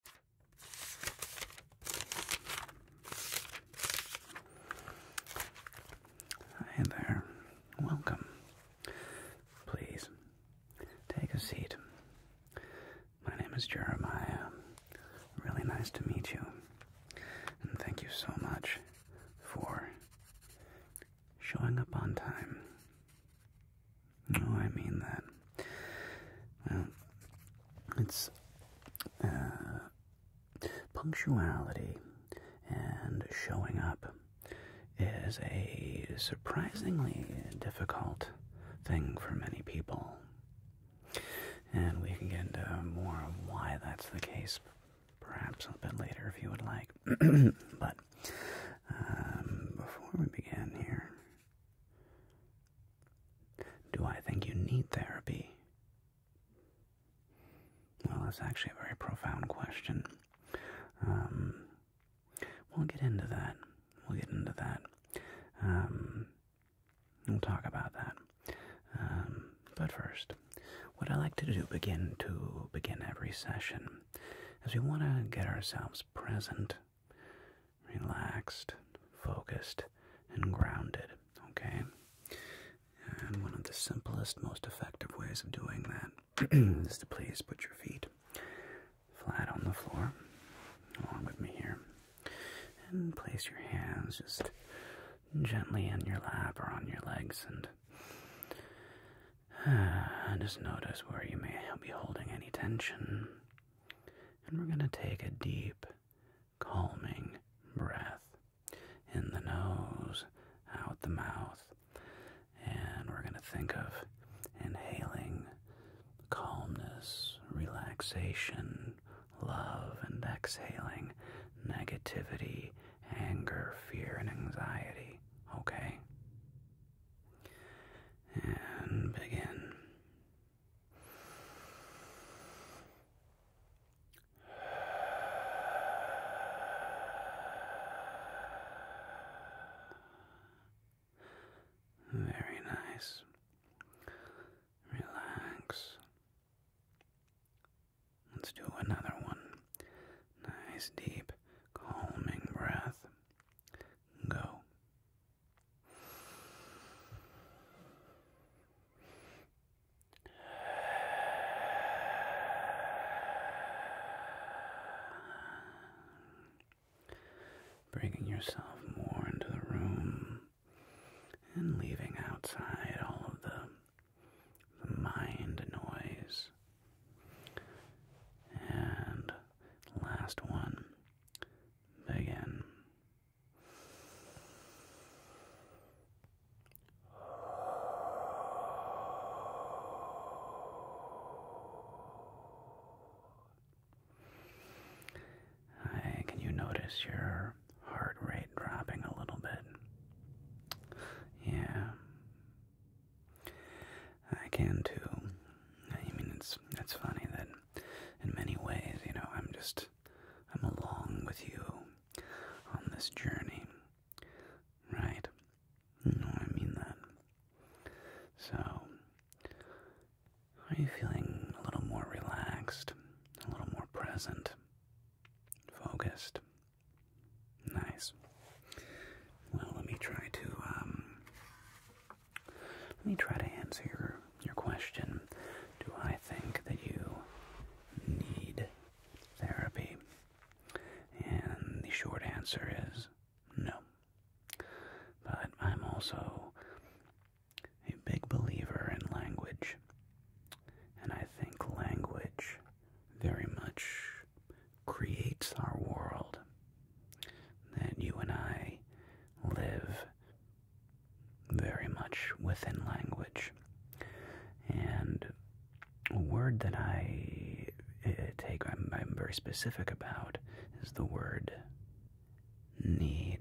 Hi there. Welcome. Please take a seat. My name is Jeremiah. Really nice to meet you. And thank you so much for showing up on time. No, I mean that. Well, it's uh, punctuality and showing up is a surprisingly difficult thing for many people. And we can get into more of why that's the case perhaps a bit later if you would like. but um, before we begin here, do I think you need therapy? Well, that's actually a very profound question. Um, we'll get into that. We'll get into that. Um, we'll talk about that. Um, but first, what I like to do begin to begin every session is we want to get ourselves present relaxed, focused, and grounded. Okay? And one of the simplest, most effective ways of doing that is to please put your feet flat on the floor, along with me here, and place your hands just gently in your lap or on your legs and just notice where you may be holding any tension and we're going to take a deep, calming breath in the nose, out the mouth. And we're going to think of inhaling calmness, relaxation, love, and exhaling negativity, anger, fear, and anxiety. Okay? And begin. Very nice. Relax. Let's do another one. Nice, deep, calming breath. Go. Bringing yourself more into the room and leaving outside all of the, mind noise and last one. Begin. Hey, can you notice your heart rate dropping a little bit? Yeah, I can too. I mean, it's it's funny that in many ways, you know, I'm just I'm along with you on this journey, right? No, I mean that. So, are you feeling a little more relaxed, a little more present, focused? Nice. Well, let me try to um, let me try to answer your, your question. Do I think that you need therapy? And the short answer is no. But I'm also a big believer in language. And I think language very much creates our world that you and I live very much within language. And a word that I eh, take, I'm, very specific about, is the word need.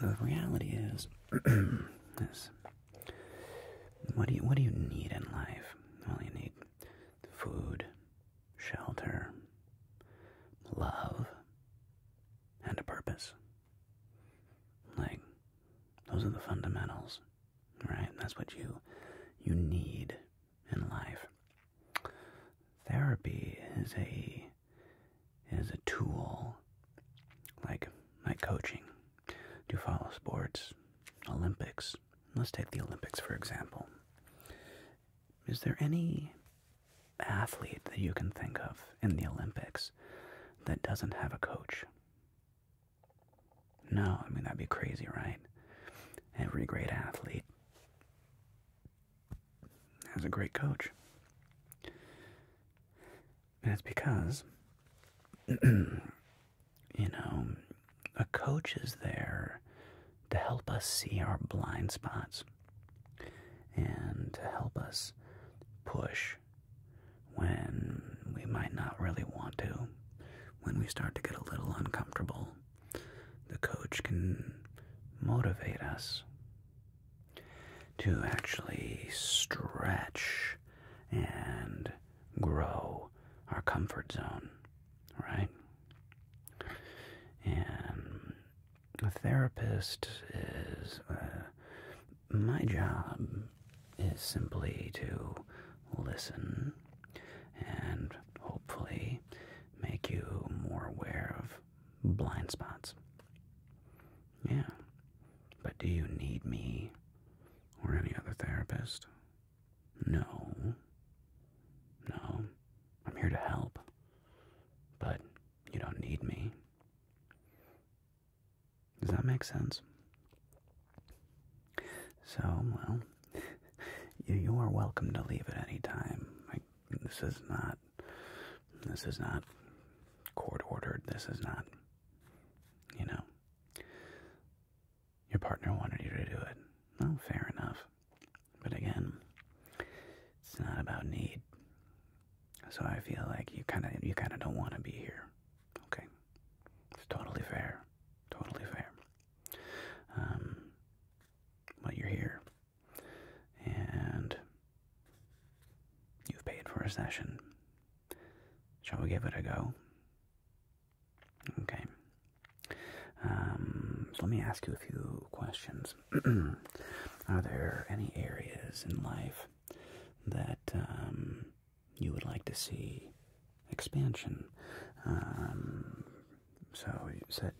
The reality is, what do you what do you need in life? All you need food, shelter, love, and a purpose. Like, those are the fundamentals, right? That's what you you need in life. Therapy is a is a tool like like coaching, do you follow sports, Olympics. Let's take the Olympics for example. Is there any athlete that you can think of in the Olympics that doesn't have a coach? No, I mean, that'd be crazy, right? Every great athlete has a great coach. And it's because you know, a coach is there to help us see our blind spots and to help us push when we might not really want to. When we start to get a little uncomfortable, the coach can motivate us to actually stretch and grow our comfort zone, right? And a therapist is uh, my job is simply to listen and hopefully make you more aware of blind spots. Yeah. But do you need me or any other therapist. No. No. I'm here to help. But you don't need me. Does that make sense? So, well, you are welcome to leave at any time. this is not. This is not court ordered. This is not. You know. Your partner wanted you to do it. No, fair enough. But again, it's not about need. So I feel like you kind of you kind of don't want to be here. Okay, it's totally fair, totally fair. Um, but you're here, and you've paid for a session. Shall we give it a go? Okay. Um, so let me ask you a few questions. Are there any areas in life that um, you would like to see expansion? Um, so you said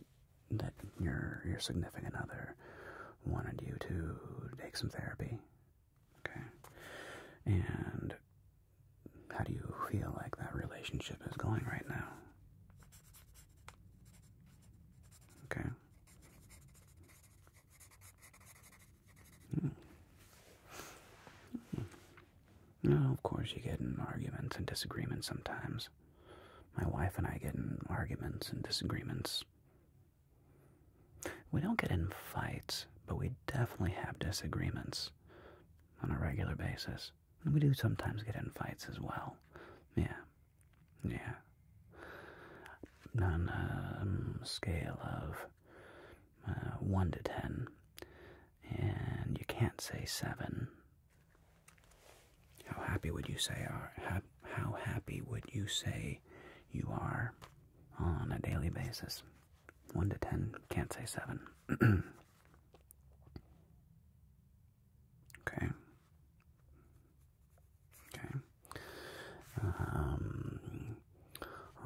that your your significant other wanted you to take some therapy. Okay. And how do you feel like that relationship is going right now? Okay. Mm. No, of course you get in arguments and disagreements sometimes. My wife and I get in arguments and disagreements we don't get in fights, but we definitely have disagreements on a regular basis. we do sometimes get in fights as well. Yeah. Yeah. On a um, scale of uh, 1 to 10. And you can't say 7. How happy would you say are how happy would you say you are on a daily basis? 1 to 10, can't say 7. okay. Okay. Um,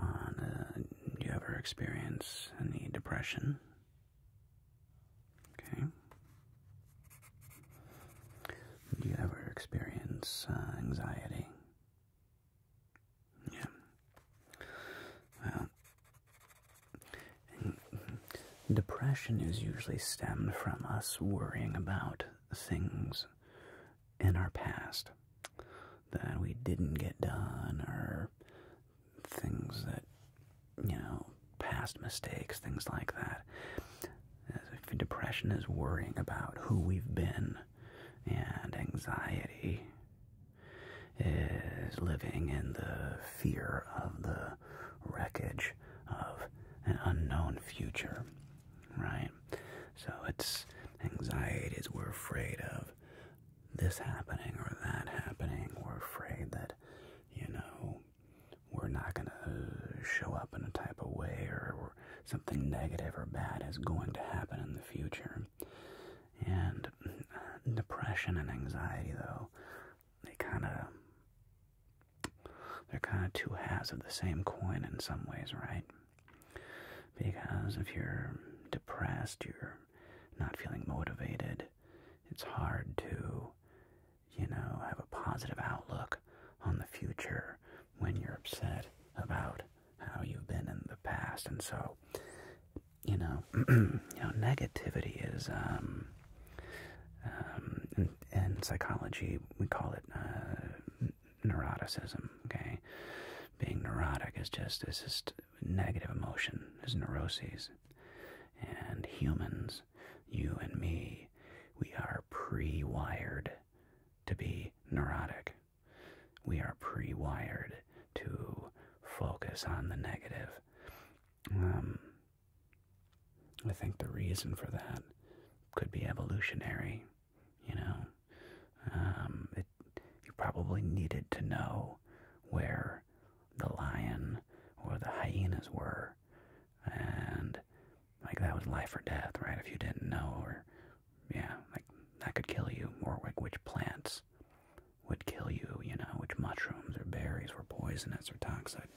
uh, do you ever experience any depression? Okay. Do you ever experience uh, anxiety? Yeah. Well, depression is usually stemmed from us worrying about things in our past that we didn't get done or things that, you know, past mistakes, things like that. if depression is worrying about who we've been and anxiety is living in the fear of the wreckage of an unknown future, right? So it's anxieties we're afraid of this happening or that happening. We're afraid that, you know, we're not going to show up in a type of way or something negative or bad is going to happen in the future. And uh, depression and anxiety, though, they kind of they're kind of two halves of the same coin in some ways, right? Because if you're depressed, you're not feeling motivated. It's hard to, you know, have a positive outlook on the future when you're upset about how you've been in the past. And so, you know, you know, negativity is, um, um, in, psychology, we call it uh, neuroticism. Okay, being neurotic is just is just negative emotion, There's neuroses, and humans, you and me, we are pre-wired to be neurotic. We are pre wired to focus on the negative. Um, I think the reason for that could be evolutionary, you know. Um, you probably needed to know where the lion or the hyenas were, and like that was life or death, right? If you didn't know, or yeah, like that could kill you, or like which plants would kill you, you know, which mushrooms or berries were poisonous or toxic.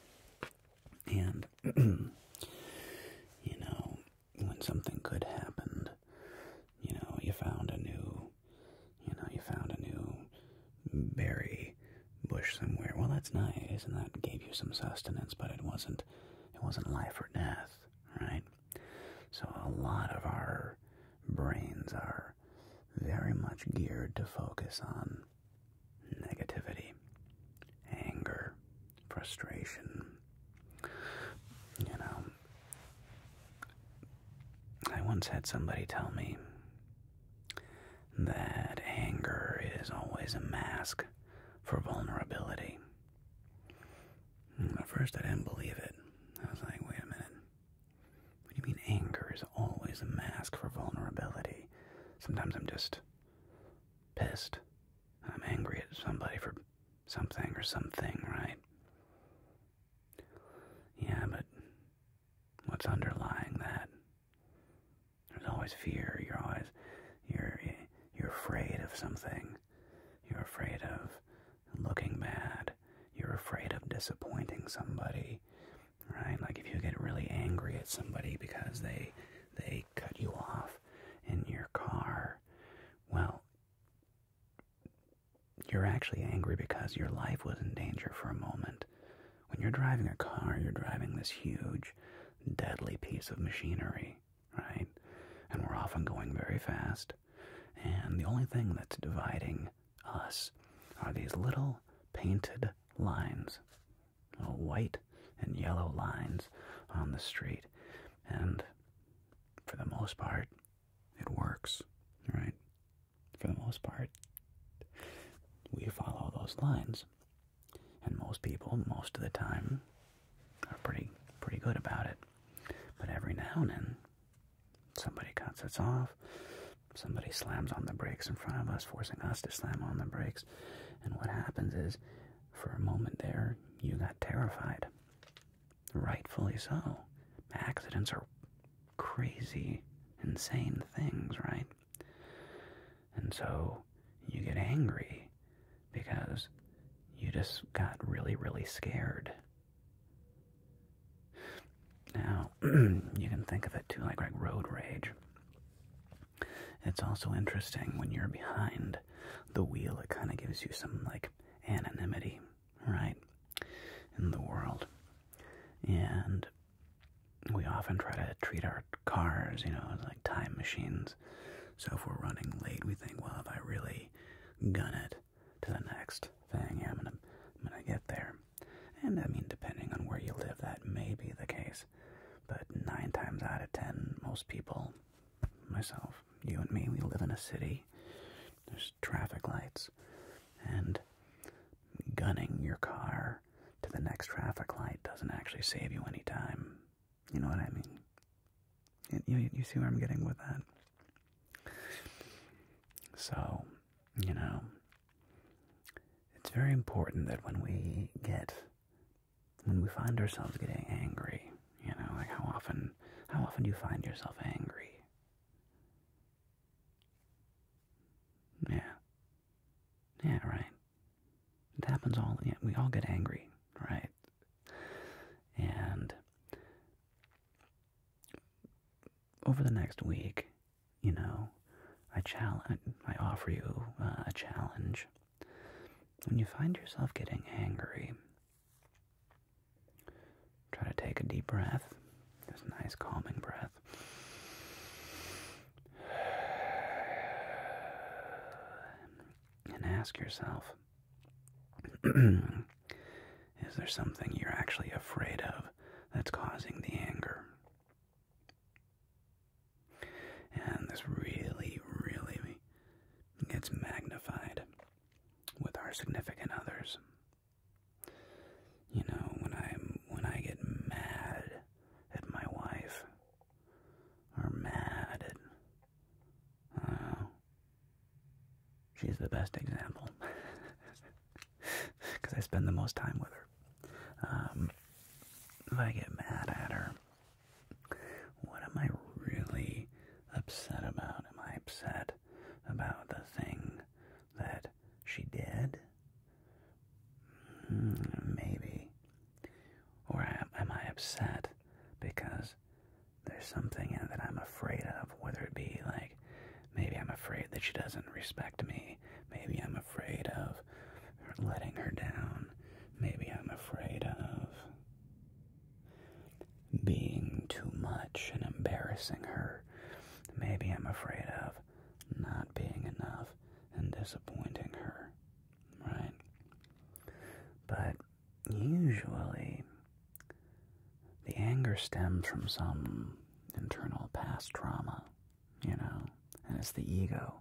And, you know, when something good happened, you know, you found a new, you know, you found a new berry bush somewhere. Well, that's nice, and that gave you some sustenance, but it wasn't, it wasn't life or death right? So a lot of our brains are very much geared to focus on negativity, anger, frustration. You know, I once had somebody tell me that anger is always a mask for vulnerability. Hmm, at first, I didn't believe it. I was like, wait a minute. What do you mean anger is always a mask for vulnerability? Sometimes I'm just pissed. I'm angry at somebody for something or something, right? Yeah, but what's underlying that? There's always fear. You're always you're you're afraid of something. You're afraid of looking bad. You're afraid of disappointing somebody. Right? Like if you get really angry at somebody because they they cut you off in your car, well, you're actually angry because your life was in danger for a moment. When you're driving a car, you're driving this huge, deadly piece of machinery right? And we're often going very fast. And the only thing that's dividing us are these little painted lines, little white and yellow lines on the street. And for the most part, it works, right? For the most part, we follow those lines. And most people, most of the time, are pretty pretty good about it. But every now and then, somebody cuts us off. Somebody slams on the brakes in front of us, forcing us to slam on the brakes. And what happens is, for a moment there, you got terrified. Rightfully so. Accidents are crazy, insane things, right? And so you get angry because you just got really, really scared. Now, you can think of it too like, like road rage. It's also interesting when you're behind the wheel, it kind of gives you some like anonymity, right, in the world. And we often try to treat our cars, you know, like time machines. So if we're running late, we think, well, if I really gun it to the next thing, am I'm gonna get there. And I mean, depending on where you live, that may be the case. But nine times out of ten, most people, myself, you and me, we live in a city. There's traffic lights, and gunning your car to the next traffic light doesn't actually save you any time. You know what I mean? you, you see where I'm getting with that? So, you know, it's very important that when we get, when we find ourselves getting angry, you know, like how often, how often do you find yourself angry? Yeah, yeah, right. It happens all. Yeah, we all get angry, right? And over the next week, you know, I challenge. I offer you uh, a challenge. When you find yourself getting angry, try to take a deep breath. There's a nice calming breath. and ask yourself is there something you're actually afraid of that's causing the anger? And this really, really gets magnified with our significant others. You know, when I when I get mad at my wife are mad at. Uh, she's the best example because I spend the most time with her. Um, if I get mad at her, what am I really upset about? Am I upset about the thing that she did? Hmm, maybe. Or am I upset because there's something that I'm afraid of, whether it be like maybe I'm afraid that she doesn't respect me, maybe I'm afraid of letting her down, maybe I'm afraid of being too much and embarrassing her, maybe I'm afraid of not being enough and disappointing her, right? But usually the anger stems from some internal past trauma, you know, and it's the ego.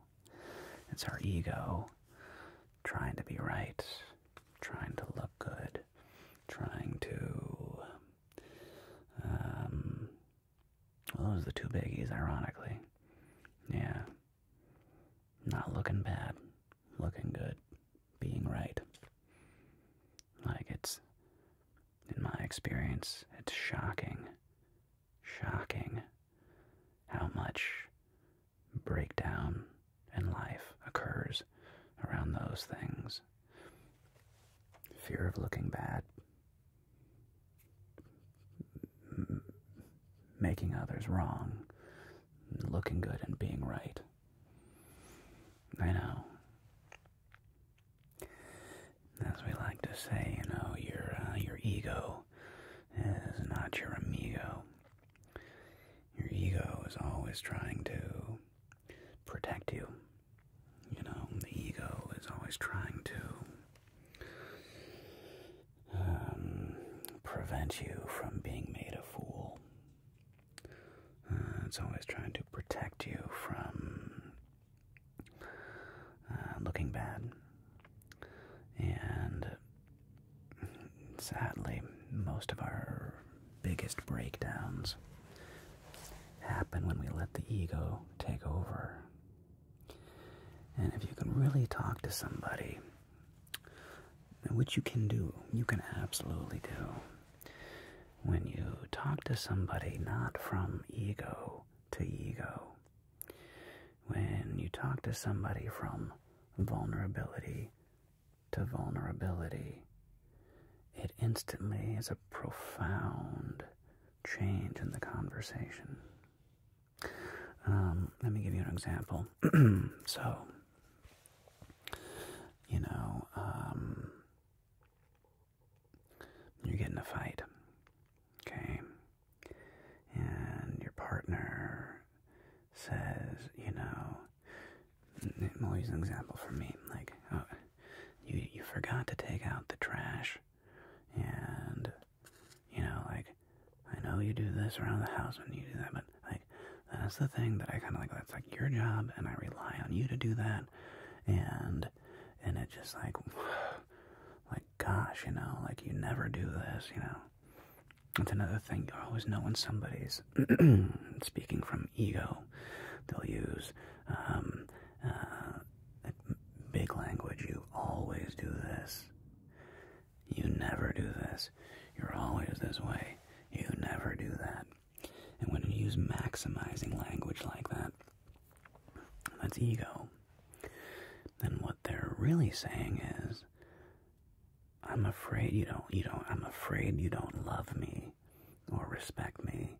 It's our ego trying to be right, trying to look good, trying to um, those are the two biggies, ironically. Yeah. Not looking bad. Looking good. Being right. Like it's, in my experience, it's shocking, shocking how much breakdown in life occurs around those things. Fear of looking bad, making others wrong, looking good and being right. I know. As we like to say, you know, your uh, your ego is not your amigo. Your ego is always trying to protect you. You know, the ego is always trying to um, prevent you from being made a fool. Uh, it's always trying to protect you from uh, looking bad. And sadly, most of our biggest breakdowns happen when we let the ego take over and if you can really talk to somebody, which you can do, you can absolutely do, when you talk to somebody not from ego to ego, when you talk to somebody from vulnerability to vulnerability, it instantly is a profound change in the conversation. Um, let me give you an example. so, you know, um, you get in a fight, okay, and your partner says, you know, we'll an example for me, like, uh, you you forgot to take out the trash and you know, like I know you do this around the house and you do that, but like that's the thing that I kind of like. That's like your job, and I rely on you to do that, and and it just like, like gosh, you know, like you never do this, you know. It's another thing you always know when somebody's speaking from ego. They'll use um, uh, Big language, you always do this. You never do this. You're always this way. You never do that. And when you use maximizing language like that, that's ego. Then what they're really saying is, I'm afraid you don't, you don't, I'm afraid you don't love me or respect me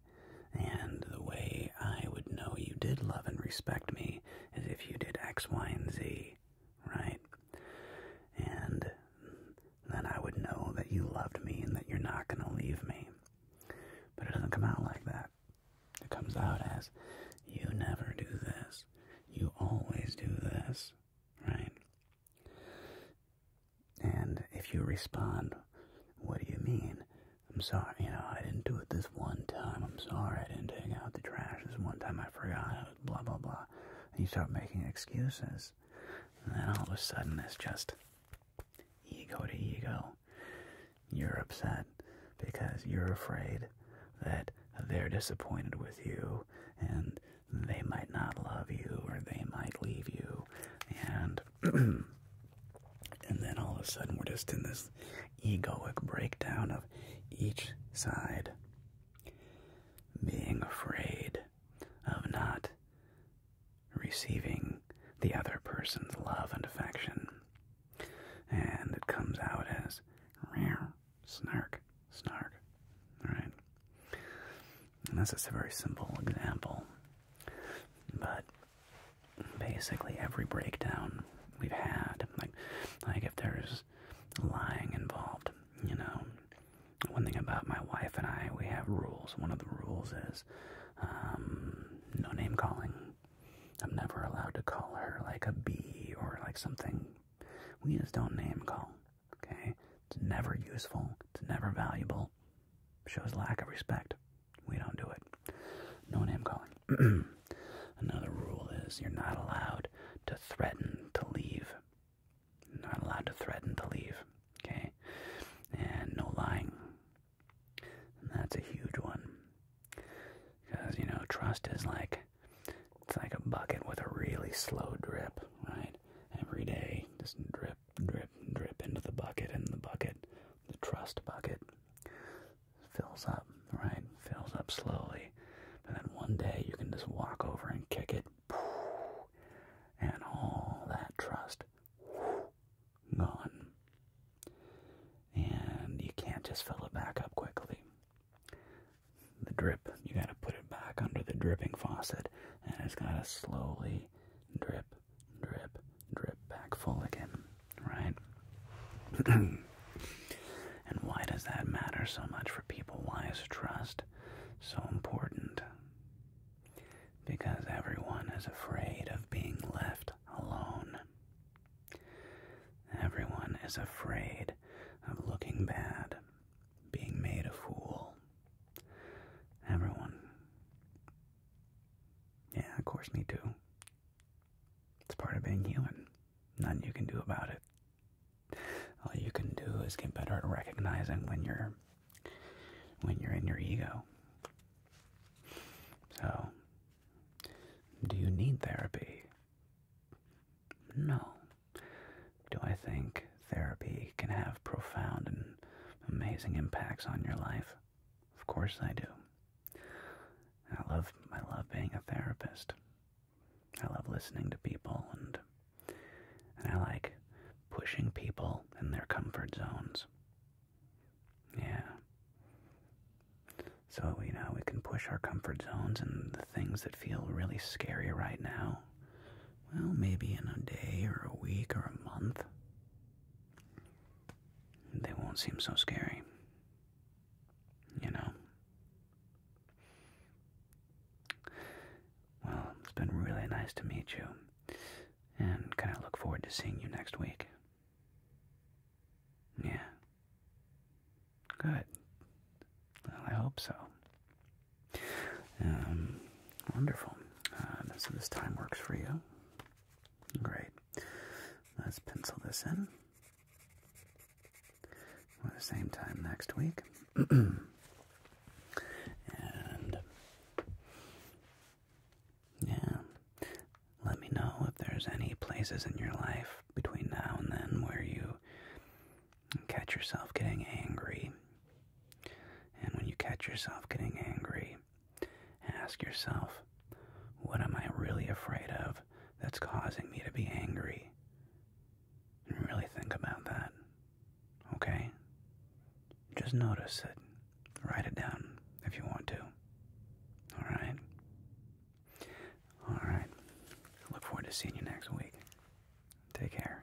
and the way I would know you did love and respect me is if you did X, Y, and Z, right? And then I would know that you loved me and that you're not going to leave me. But it doesn't come out like that. It comes out as you never do this, you always do this, right? And if you respond, what do you mean? I'm sorry, you know, I didn't do it this one time. I'm sorry, I didn't take out the trash this one time. I forgot. Blah blah blah. And you start making excuses, and then all of a sudden it's just ego to ego. You're upset because you're afraid that they're disappointed with you, and they might not love you, or they might leave you, and And then all of a sudden, we're just in this egoic breakdown of each side being afraid of not receiving the other person's love and affection. And it comes out as snark, snark. Alright? And that's just a very simple example. But basically every breakdown we've had. Like, like if there's lying involved, you know. One thing about my wife and I, we have rules. One of the rules is um, no name calling. I'm never allowed to call her like a bee or like something. We just don't name call. Okay, it's never useful. It's never valuable. Shows lack of respect. We don't do it. No name calling. Another rule is you're not allowed to threaten to leave. not allowed to threaten to leave. Okay? And no lying. that's a huge one. Because, you know, trust is like it's like a bucket with a really slow drip, right? Every day, just drip, drip, drip into the bucket, and the bucket, the trust bucket, fills up, right? Fills up slowly. And then one day you can just walk over and kick it, and all that trust gone. And you can't just fill it back up quickly. The drip, you gotta put it back under the dripping faucet, and it's gotta slowly drip, drip, drip back full again, right? and why does that matter so much for people? Why is trust so important? Because everyone is afraid of being left alone. Everyone is afraid of looking bad, being made a fool. Everyone yeah, of course, me too. It's part of being human. Nothing you can do about it. All you can do is get better at recognizing when you're when you're in your ego. So, do you need therapy? No. Do I think therapy can have profound and amazing impacts on your life. Of course I do. I love I love being a therapist. I love listening to people and and I like pushing people in their comfort zones. Yeah. So, you know, we can push our comfort zones and the things that feel really scary right now well, maybe in a day or a week or a month. They won't seem so scary. You know? Well, it's been really nice to meet you. And kind of look forward to seeing you next week. Yeah. Good. Well, I hope so. Um, wonderful. Uh, so this time works for you. Great. Let's pencil this in. Well, the same time next week. and yeah, let me know if there's any places in your life between now and then where you catch yourself getting angry and when you catch yourself getting angry, ask yourself, what am I really afraid of that's causing me to be angry? And really think about that. Okay? Just notice it. Write it down if you want to. Alright? Alright. Look forward to seeing you next week. Take care.